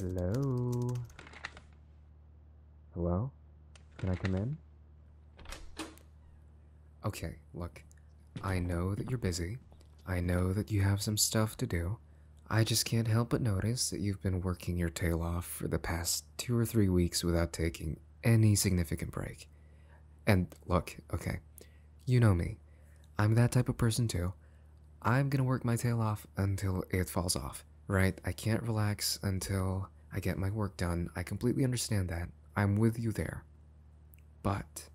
Hello? Hello? Can I come in? Okay, look. I know that you're busy. I know that you have some stuff to do. I just can't help but notice that you've been working your tail off for the past two or three weeks without taking any significant break. And look, okay, you know me. I'm that type of person too. I'm gonna work my tail off until it falls off, right? I can't relax until I get my work done. I completely understand that. I'm with you there. But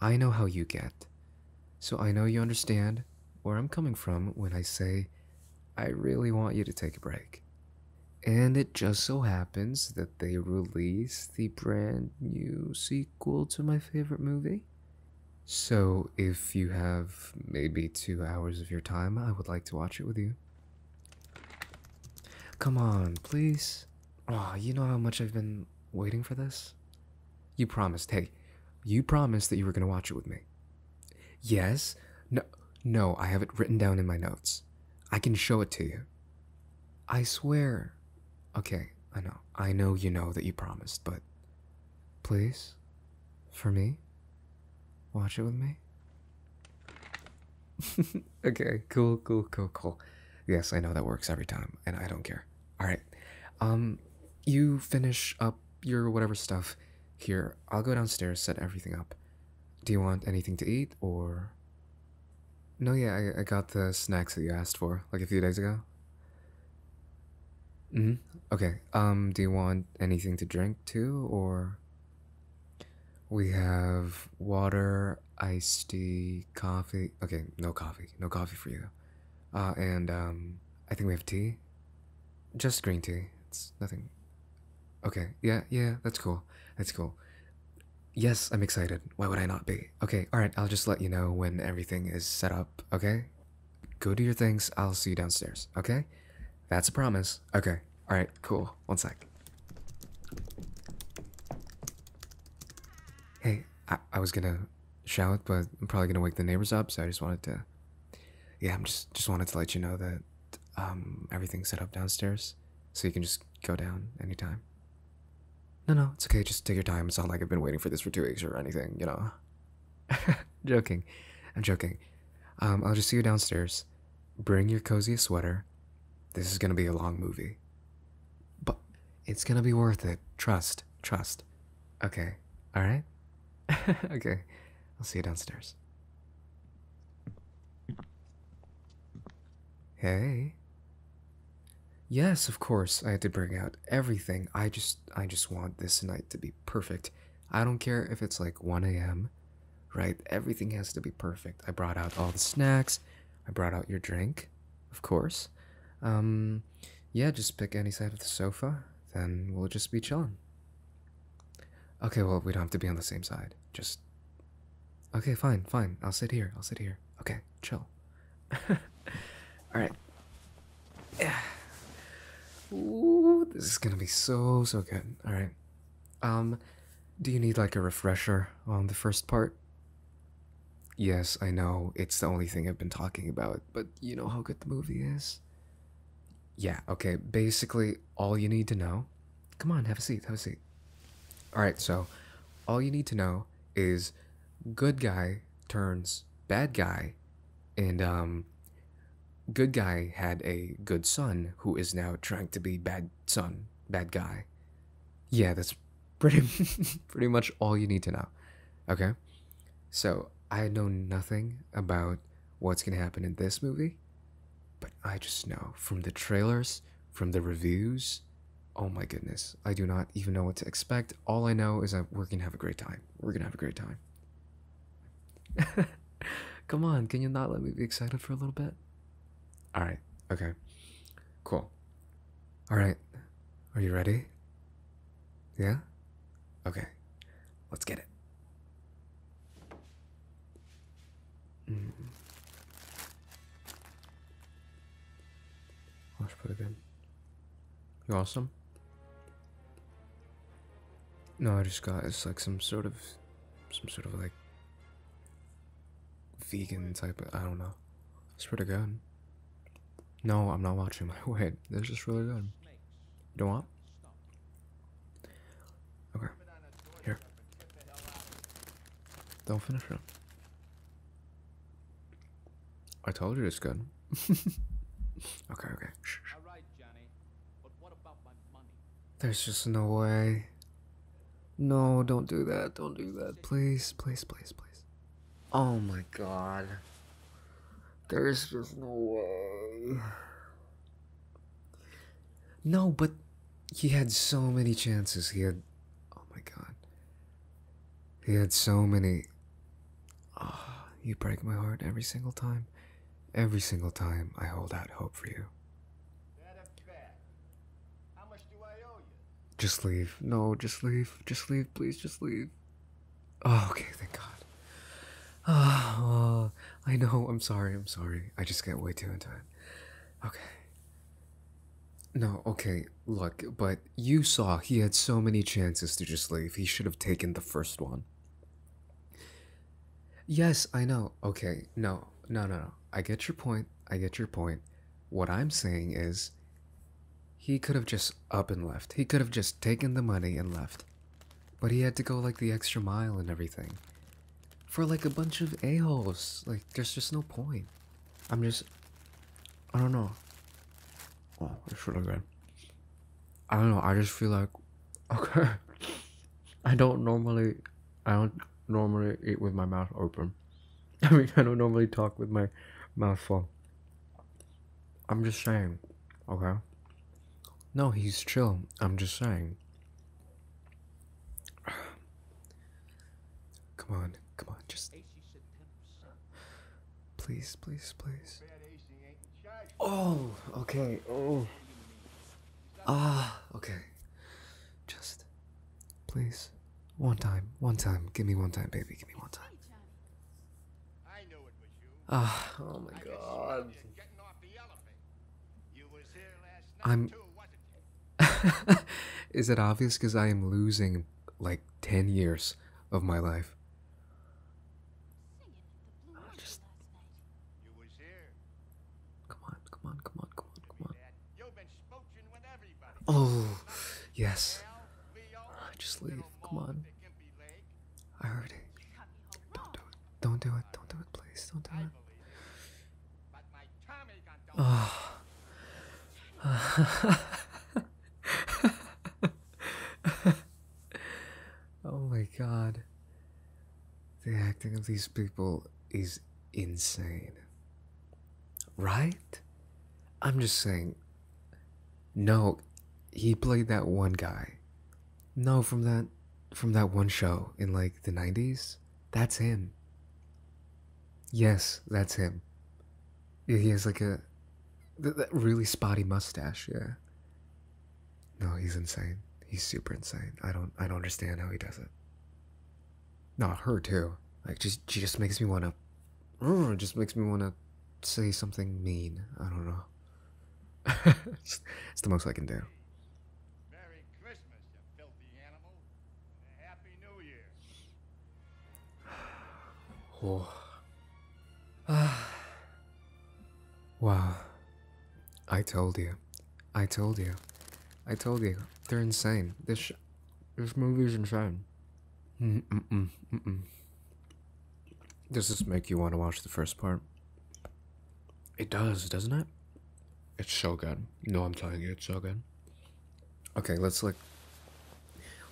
I know how you get. So I know you understand where I'm coming from when I say, I really want you to take a break. And it just so happens that they release the brand new sequel sequel to my favorite movie. So, if you have maybe two hours of your time, I would like to watch it with you. Come on, please. Ah, you know how much I've been waiting for this? You promised, hey, you promised that you were going to watch it with me. Yes? No, no, I have it written down in my notes. I can show it to you. I swear. Okay, I know. I know you know that you promised, but please, for me, watch it with me. okay, cool, cool, cool, cool. Yes, I know that works every time, and I don't care. All right, um, you finish up your whatever stuff here. I'll go downstairs, set everything up. Do you want anything to eat or no, yeah, I, I got the snacks that you asked for like a few days ago. Mm hmm. Okay. Um, do you want anything to drink too, or? We have water, iced tea, coffee. Okay, no coffee. No coffee for you. Uh, and, um, I think we have tea. Just green tea. It's nothing. Okay, yeah, yeah, that's cool. That's cool. Yes, I'm excited. Why would I not be? Okay, alright, I'll just let you know when everything is set up, okay? Go do your things, I'll see you downstairs, okay? That's a promise. Okay, alright, cool. One sec. Hey, I, I was gonna shout, but I'm probably gonna wake the neighbors up, so I just wanted to. Yeah, I'm just just wanted to let you know that um everything's set up downstairs, so you can just go down anytime. No, no, it's okay. Just take your time. It's not like I've been waiting for this for two weeks or anything, you know. joking. I'm joking. Um, I'll just see you downstairs. Bring your cozy sweater. This is gonna be a long movie. But it's gonna be worth it. Trust. Trust. Okay. Alright? okay. I'll see you downstairs. Hey. Yes, of course, I had to bring out everything. I just I just want this night to be perfect. I don't care if it's like 1 a.m. Right? Everything has to be perfect. I brought out all the snacks. I brought out your drink, of course. Um yeah, just pick any side of the sofa, then we'll just be chilling. Okay, well, we don't have to be on the same side. Just Okay, fine, fine. I'll sit here. I'll sit here. Okay, chill. Alright. Yeah. Ooh, this is gonna be so, so good. Alright. Um, do you need like a refresher on the first part? Yes, I know, it's the only thing I've been talking about, but you know how good the movie is? Yeah, okay, basically all you need to know. Come on, have a seat, have a seat. Alright, so all you need to know is good guy turns bad guy, and um, good guy had a good son who is now trying to be bad son, bad guy. Yeah, that's pretty pretty much all you need to know. Okay, so I know nothing about what's gonna happen in this movie, but I just know from the trailers, from the reviews, oh my goodness, I do not even know what to expect. All I know is that we're gonna have a great time. We're gonna have a great time. Come on, can you not let me be excited for a little bit? All right, okay, cool. All right, are you ready? Yeah? Okay, let's get it. Mm. it in. You are awesome. No, I just got it's like some sort of, some sort of like vegan type of, I don't know. It's pretty good. No, I'm not watching my weight. This is really good. don't want? Okay. Here. Don't finish it. I told you it's good. okay, okay. There's just no way. No, don't do that. Don't do that. Please, please, please, please. Oh my god. There's just no way. No, but he had so many chances. He had. Oh my god. He had so many. Ah, you break my heart every single time. Every single time I hold out hope for you. Just leave. No, just leave. Just leave. Please, just leave. Oh, okay, thank God. Ah, oh, I know. I'm sorry. I'm sorry. I just get way too into it. Okay. No, okay, look, but you saw he had so many chances to just leave. He should have taken the first one. Yes, I know. Okay, no, no, no, no. I get your point. I get your point. What I'm saying is, he could have just up and left. He could have just taken the money and left. But he had to go like the extra mile and everything. For like a bunch of a-holes. Like, there's just no point. I'm just, I don't know. Oh, it should have good. I don't know. I just feel like, okay. I don't normally, I don't normally eat with my mouth open. I mean, I don't normally talk with my mouth full. I'm just saying, okay. No, he's chill. I'm just saying. Come on, come on, just. Please, please, please. Oh, okay. Oh. Ah, okay. Just, please. One time, one time. Give me one time, baby. Give me one time. Ah, oh my god. I'm. Is it obvious because I am losing like 10 years of my life. Come on, come on, come on, come on, come on. Oh, yes. Right, just leave. Come on. I heard it. Don't do it. Don't do it. Don't do it, please. Don't do it. Oh. oh my god. The acting of these people is insane. Right? I'm just saying. No, he played that one guy. No, from that from that one show in like the 90s. That's him. Yes, that's him. he has like a really spotty mustache. Yeah. No, he's insane. He's super insane. I don't. I don't understand how he does it. Not her too. Like just she just makes me wanna. Mm, just makes me wanna say something mean. I don't know. it's, the most I can do. Merry Christmas, you filthy animal. Happy New Year. Oh. Ah. Wow. I told you. I told you. I told you. They're insane. This this movie's insane. Mm -mm -mm, mm -mm. Does this make you want to watch the first part? It does, doesn't it? It's so good. No, I'm telling you, it's so good okay, let's like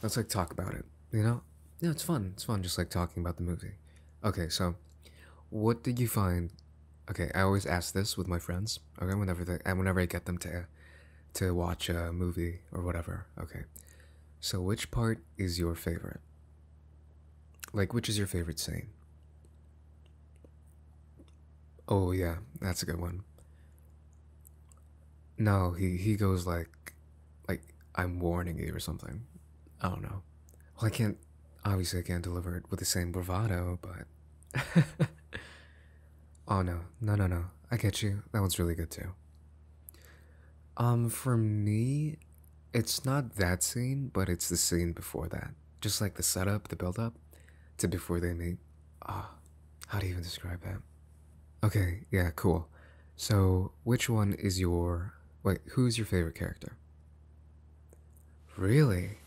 let's like talk about it. You know? Yeah, it's fun. It's fun just like talking about the movie. Okay, so what did you find? Okay, I always ask this with my friends. Okay, whenever they and whenever I get them to to watch a movie or whatever. Okay. So which part is your favorite? Like which is your favorite scene? Oh yeah, that's a good one. No, he he goes like, like I'm warning you or something. I don't know. Well, I can't. Obviously, I can't deliver it with the same bravado, but. oh no, no, no, no! I get you. That one's really good too. Um, for me, it's not that scene, but it's the scene before that. Just like the setup, the build-up, to before they meet. Ah, how do you even describe that? Okay, yeah, cool. So, which one is your. Wait, who's your favorite character? Really?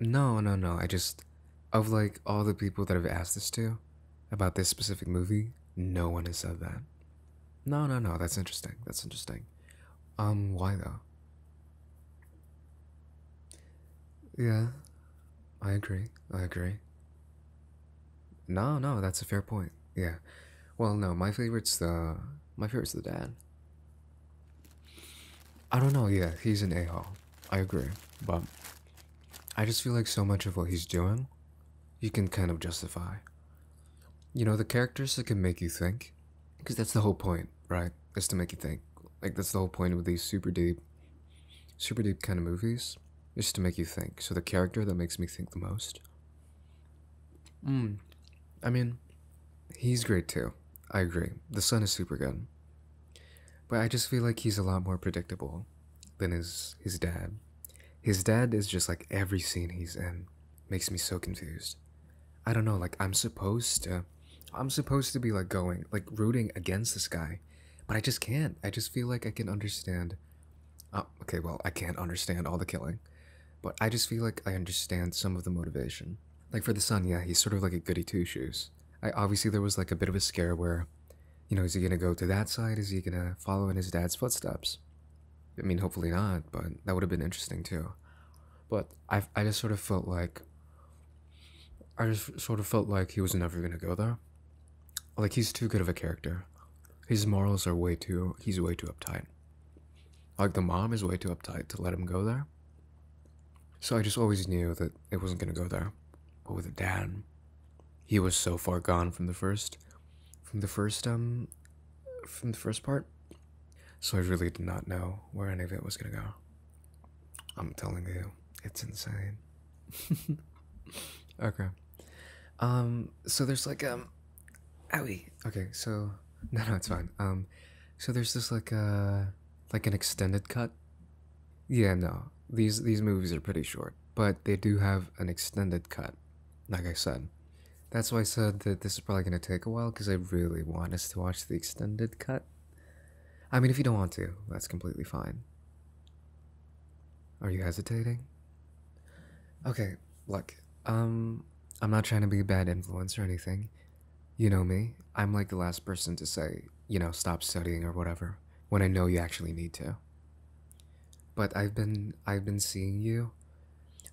No, no, no. I just. Of like all the people that have asked this to about this specific movie, no one has said that. No, no, no. That's interesting. That's interesting. Um, why though? Yeah, I agree. I agree. No, no, that's a fair point. Yeah. Well, no, my favorite's the my favorite's the dad. I don't know. Yeah, he's an a-hole. I agree, but I just feel like so much of what he's doing, you can kind of justify. You know, the characters that can make you think, because that's the whole point, right? Is to make you think. Like that's the whole point with these super deep, super deep kind of movies. Just to make you think. So the character that makes me think the most. Hmm. I mean, he's great too. I agree. The son is super good. But I just feel like he's a lot more predictable than his his dad. His dad is just like every scene he's in makes me so confused. I don't know, like I'm supposed to I'm supposed to be like going, like rooting against this guy but I just can't. I just feel like I can understand. Uh, okay, well, I can't understand all the killing, but I just feel like I understand some of the motivation. Like for the son, yeah, he's sort of like a goody two shoes. obviously there was like a bit of a scare where, you know, is he gonna go to that side? Is he gonna follow in his dad's footsteps? I mean, hopefully not, but that would have been interesting too. But I, I just sort of felt like, I just sort of felt like he was never gonna go there like he's too good of a character. His morals are way too he's way too uptight. Like the mom is way too uptight to let him go there. So I just always knew that it wasn't gonna go there. But with the dad, he was so far gone from the first from the first um from the first part. So I really did not know where any of it was gonna go. I'm telling you, it's insane. okay. Um, so there's like um owie. Okay, so no no it's fine. Um so there's this like a uh, like an extended cut. Yeah, no. These these movies are pretty short, but they do have an extended cut, like I said. That's why I said that this is probably gonna take a while because I really want us to watch the extended cut. I mean if you don't want to, that's completely fine. Are you hesitating? Okay, look, um, I'm not trying to be a bad influence or anything. You know me, I'm like the last person to say, you know, stop studying or whatever, when I know you actually need to. But I've been, I've been seeing you.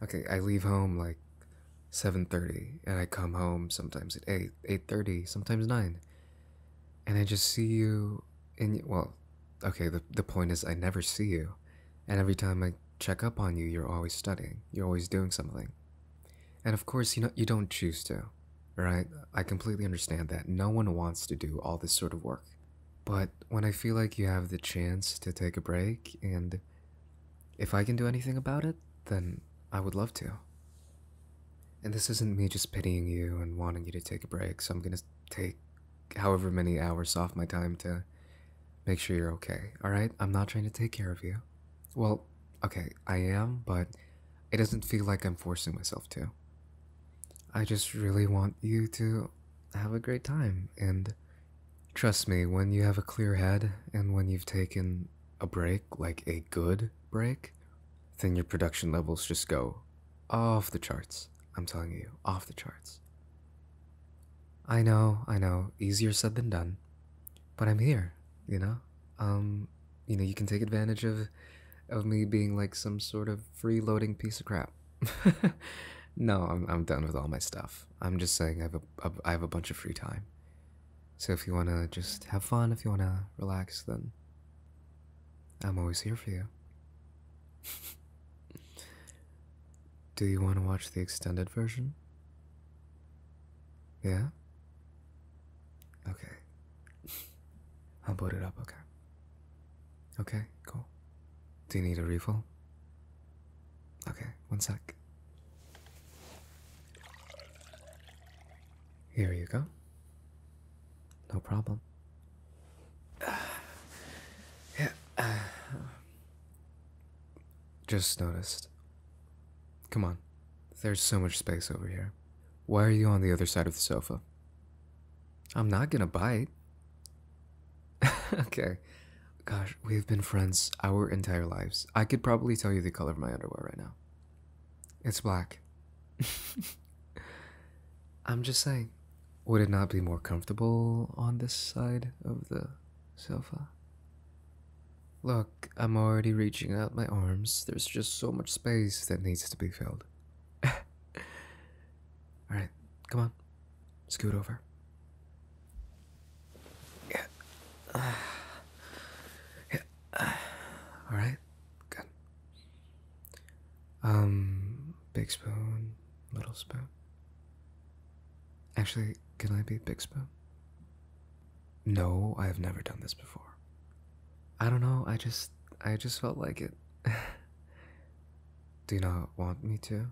Okay, I leave home like 7.30 and I come home sometimes at 8, 8.30, sometimes 9. And I just see you and well, okay, the, the point is, I never see you. And every time I check up on you, you're always studying, you're always doing something. And of course, you know, you don't choose to, right? I completely understand that. No one wants to do all this sort of work. But when I feel like you have the chance to take a break, and if I can do anything about it, then I would love to. And this isn't me just pitying you and wanting you to take a break, so I'm gonna take however many hours off my time to make sure you're okay, alright? I'm not trying to take care of you. Well, okay, I am, but it doesn't feel like I'm forcing myself to. I just really want you to have a great time, and trust me, when you have a clear head and when you've taken a break, like a good break, then your production levels just go off the charts. I'm telling you, off the charts. I know, I know, easier said than done. But I'm here, you know? Um, you know, you can take advantage of of me being like some sort of free loading piece of crap. no, I'm I'm done with all my stuff. I'm just saying I have a I have a bunch of free time. So if you want to just have fun, if you want to relax, then I'm always here for you. Do you want to watch the extended version? Yeah? Okay. I'll boot it up, okay? Okay, cool. Do you need a refill? Okay, one sec. Here you go. No problem. Uh, just noticed. Come on. There's so much space over here. Why are you on the other side of the sofa? I'm not gonna bite. okay. Gosh, we've been friends our entire lives. I could probably tell you the color of my underwear right now. It's black. I'm just saying, would it not be more comfortable on this side of the sofa? Look, I'm already reaching out my arms. There's just so much space that needs to be filled. Alright, come on. Scoot over. Yeah. Yeah. Alright, good. Um, big spoon, little spoon. Actually, can I be big spoon? No, I have never done this before. I don't know, I just I just felt like it. Do you not want me to?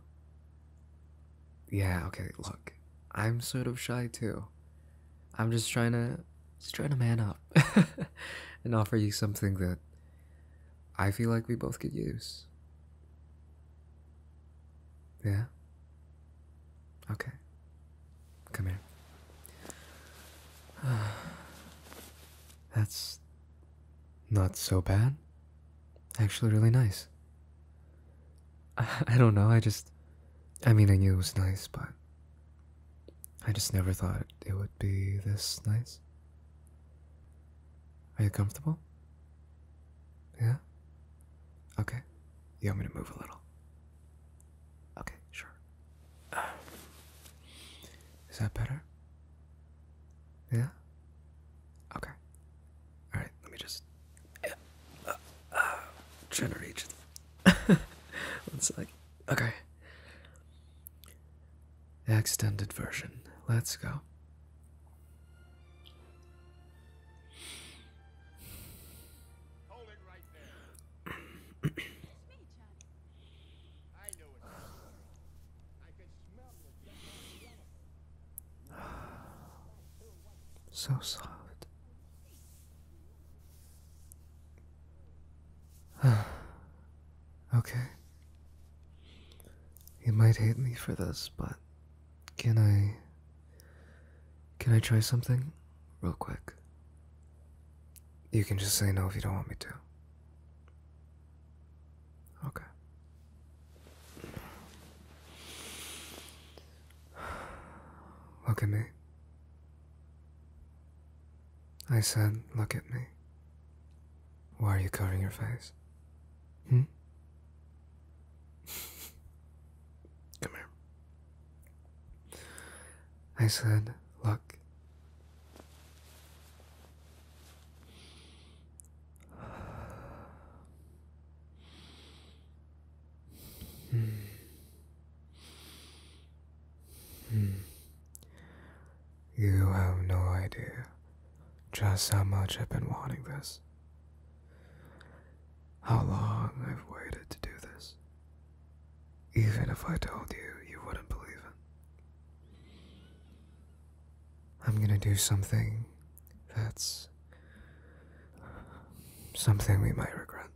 Yeah, okay, look. I'm sort of shy too. I'm just trying to just trying to man up. and offer you something that I feel like we both could use. Yeah? Okay. Come here. That's not so bad. Actually, really nice. I, don't know, I just. I mean, I knew it was nice, but I just never thought it would be this nice. Are you comfortable? Yeah? Okay. You want me to move a little? Okay, sure. is that better? Yeah? Okay. Alright, let me just. generate. uh, uh Okay. Extended version. Let's go. so soft. Okay. You might hate me for this, but can I. Can I try something real quick? You can just say no if you don't want me to. Okay. Look at me. I said, Look at me. Why are you covering your face? Hmm? Come here. I said, Look. Hmm. Hmm. You have no idea just how much I've been wanting this. How long I've waited to do this. Even if I told you, you wouldn't believe it. I'm gonna do something that's something we might regret.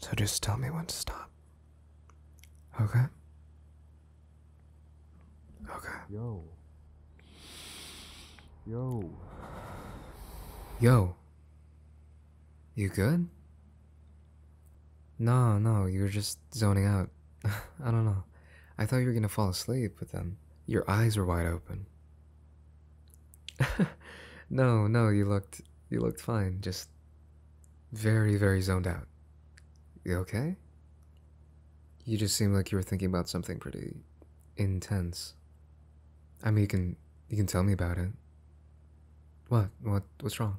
So just tell me when to stop. Okay. Okay. Yo. Yo. Yo. You good? No, no, you were just zoning out. I don't know. I thought you were gonna fall asleep, but then your eyes were wide open. no, no, you looked you looked fine. Just very, very zoned out. You okay? You just seem like you were thinking about something pretty intense. I mean, you can you can tell me about it. What? What what's wrong?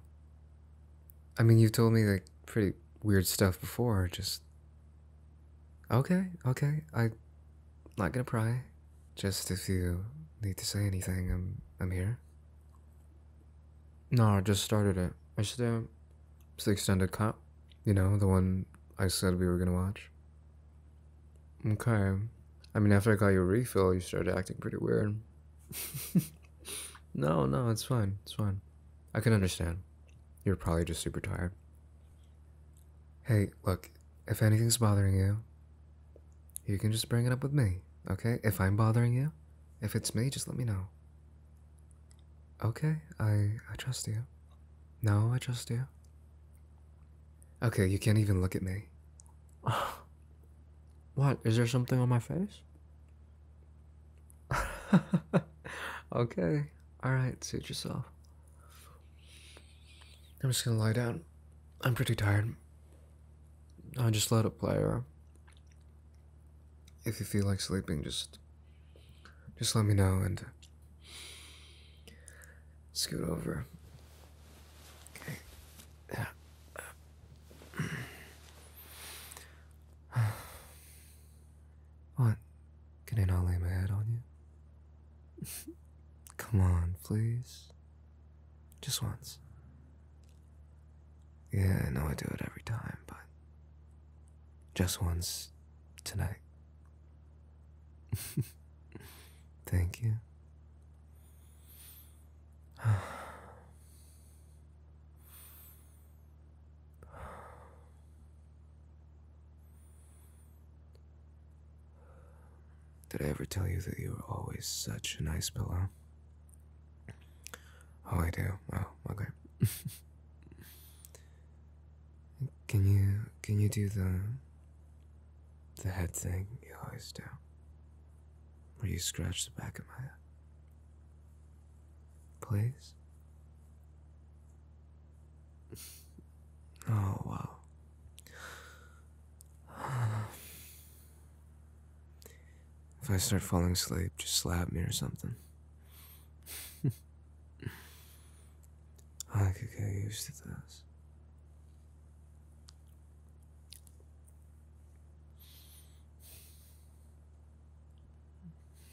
I mean, you've told me like pretty weird stuff before, just Okay, okay. I not going to pry. Just if you need to say anything, I'm I'm here. No, I just started it. I should It's the extended cut. You know, the one I said we were gonna watch. Okay. I mean, after I got your refill, you started acting pretty weird. no, no, it's fine. It's fine. I can understand. You're probably just super tired. Hey, look, if anything's bothering you, you can just bring it up with me, okay? If I'm bothering you, if it's me, just let me know. Okay, I I trust you. No, I trust you. Okay, you can't even look at me. What? Is there something on my face? okay. Alright, suit yourself. I'm just gonna lie down. I'm pretty tired. I just let it play her. If you feel like sleeping, just just let me know and scoot over. Yeah. what? Can I not lay my head on you? Come on, please. Just once. Yeah, I know I do it every time, but just once tonight. Thank you. Did I ever tell you that you were always such a nice pillow? Oh, I do. Oh, okay. can you can you do the the head thing you always do? Where you scratch the back of my head? Please. Oh wow. If I start falling asleep, just slap me or something. I could get used to this.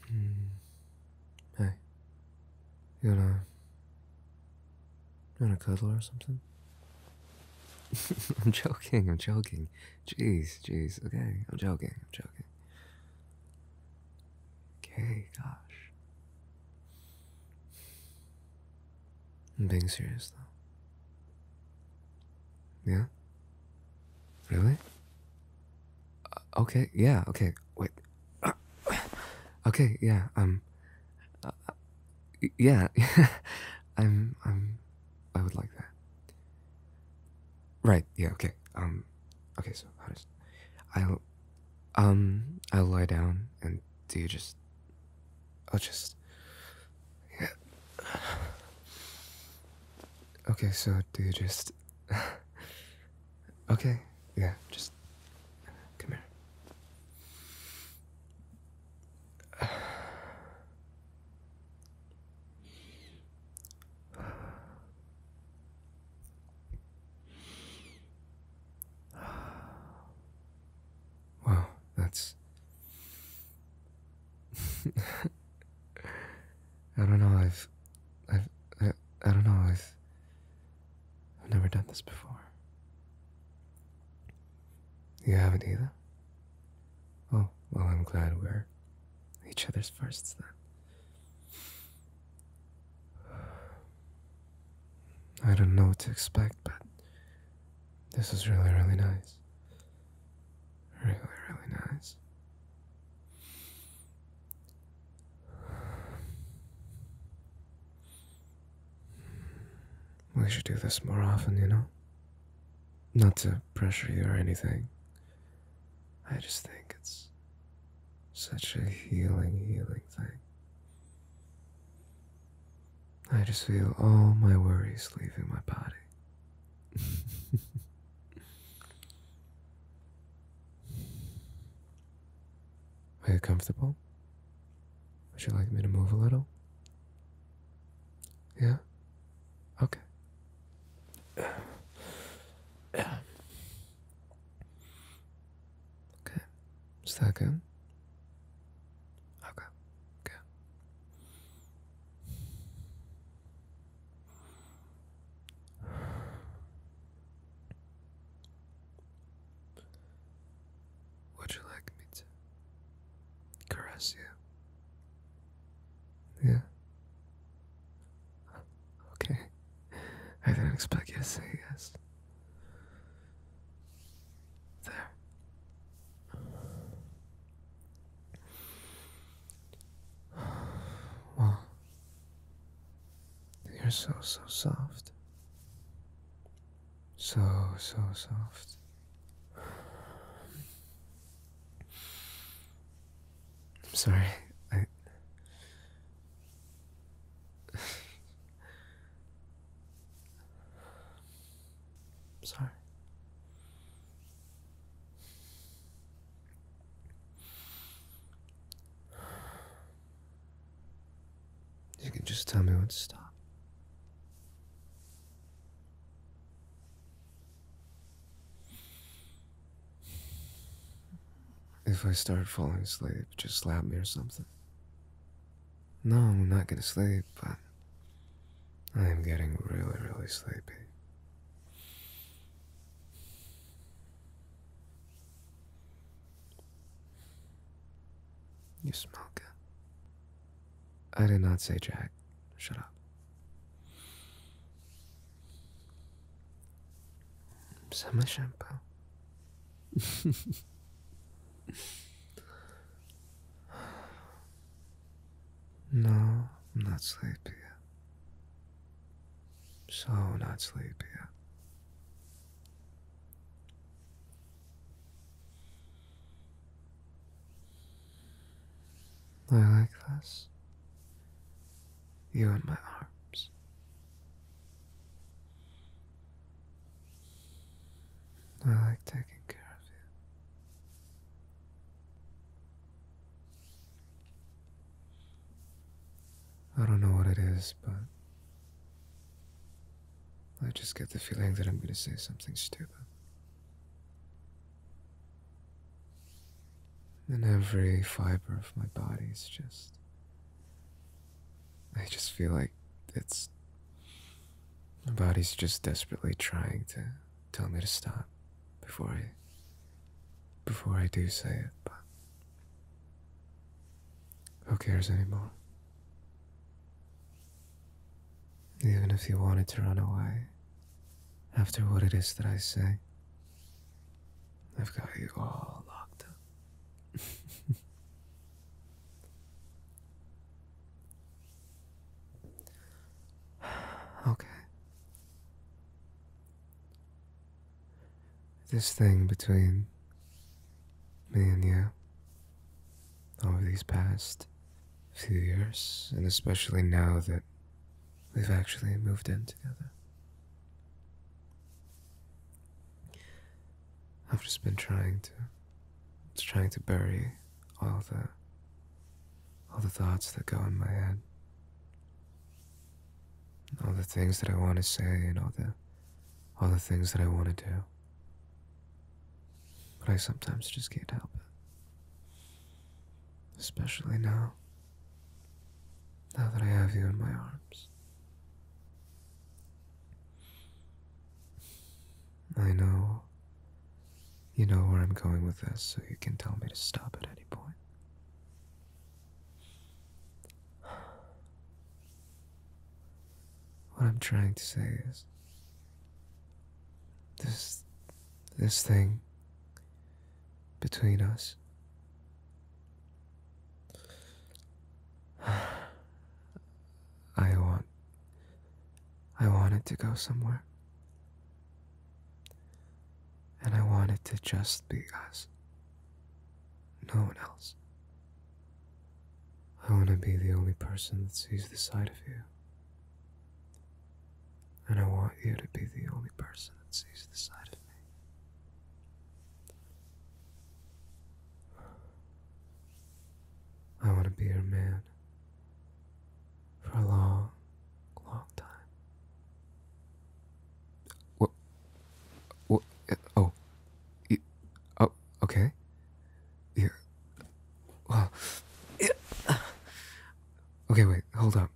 Hmm. Hey, you wanna, you to cuddle or something? I'm joking, I'm joking. Jeez, jeez, okay, I'm joking, I'm joking. Okay, gosh. I'm being serious though. Yeah? Really? Uh, okay, yeah, okay, wait. okay, yeah, um. Uh, yeah, I'm, I'm, I would like that. Right, yeah, okay. Um okay, so I'll um I'll lie down and do you just I'll just yeah. Okay, so do you just Okay, yeah, just come here. Wow, that's. I don't know. I've, I've, I, I don't know. I've, I've never done this before. You haven't either. Oh, well, I'm glad we're each other's firsts then. I don't know what to expect, but this is really, really nice. Really, really nice. We should do this more often, you know? Not to pressure you or anything. I just think it's such a healing, healing thing. I just feel all my worries leaving my body. Are you comfortable? Would you like me to move a little? Yeah? Okay. Okay. Is that good? Okay. Good. Would you like me to caress you? Yeah. Okay. I didn't expect you to say yes. There. Well, you're so, so soft. So, so soft. I'm sorry. I. am sorry. You can just tell me what to stop. If I start falling asleep, just slap me or something. No, I'm not gonna sleep, but I am getting really, really sleepy. You smell good. I did not say Jack. Shut up. Summer shampoo. no, I'm not sleepy yet. So not sleepy yet. I like this. You in my arms. I like taking care of you. I don't know what it is, but I just get the feeling that I'm going to say something stupid. And every fiber of my body is just. I just feel like it's. My body's just desperately trying to tell me to stop before I. before I do say it, but. Who cares anymore? Even if you wanted to run away, after what it is that I say, I've got you all locked up. okay. This thing between me and you over these past few years, and especially now that we've actually moved in together. I've just been trying to trying to bury all the all the thoughts that go in my head. All the things that I want to say and all the all the things that I want to do. But I sometimes just can't help it. Especially now. Now that I have you in my arms. I know. You know where I'm going with this, so you can tell me to stop at any point. What I'm trying to say is this this thing between us. I want I wanted to go somewhere. And I wanted to just be us. No one else. I want to be the only person that sees the side of you. And I want you to be the only person that sees the side of me. I want to be your man for a long, long time. What? What? Oh. You, oh, okay. You're. Well. Yeah. Okay, wait, hold up.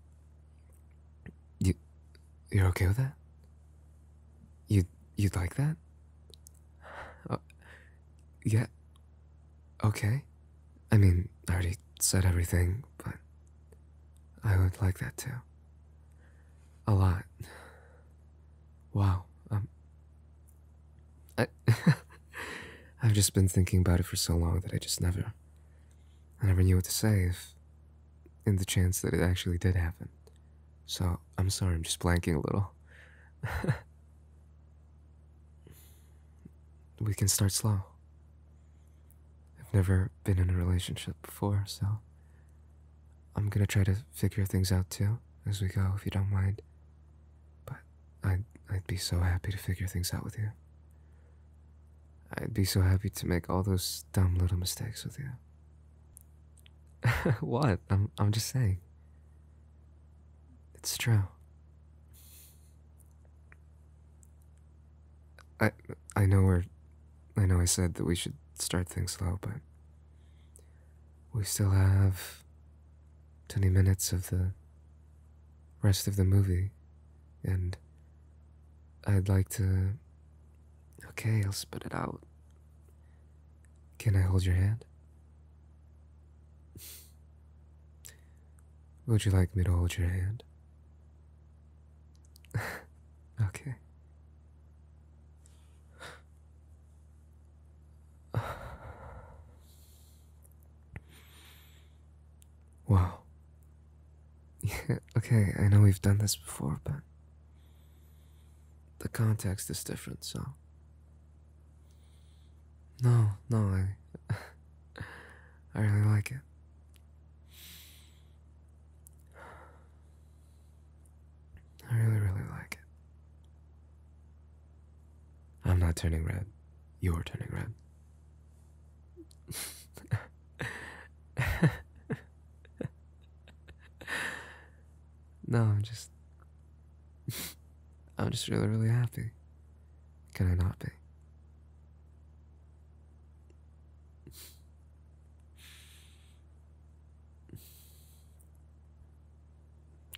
You, you're okay with that? You, you'd like that? Uh, yeah. Okay. I mean, I already said everything, but I would like that too. A lot. Wow. Um, I I've just been thinking about it for so long that I just never I never knew what to say if in the chance that it actually did happen. So I'm sorry I'm just blanking a little. we can start slow. I've never been in a relationship before, so I'm gonna try to figure things out too as we go if you don't mind. But I'd, I'd be so happy to figure things out with you. I'd be so happy to make all those dumb little mistakes with you. what? I'm, I'm just saying. It's true. I I know we're I know I said that we should start things slow, but we still have 20 minutes of the rest of the movie, and I'd like to. Okay, I'll spit it out. Can I hold your hand? Would you like me to hold your hand? okay. Wow. okay, I know we've done this before, but the context is different, so. No, no, I. I really like it. I really, really like it. I'm not turning red. You're turning red. no, I'm just. I'm just really, really happy. Can I not be?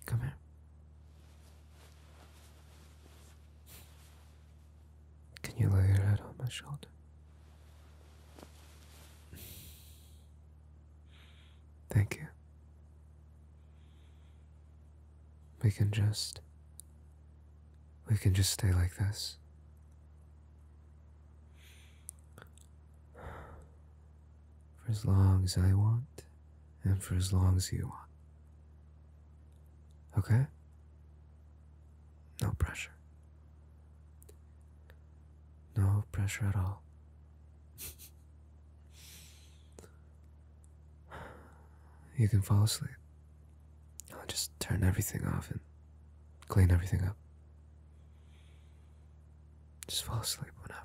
Come here. Can you lay your head on my shoulder? Thank you. We can just. We can just stay like this. For as long as I want and for as long as you want. Okay? No pressure. No pressure at all. you can fall asleep. I'll just turn everything off and clean everything up. Just fall asleep whenever.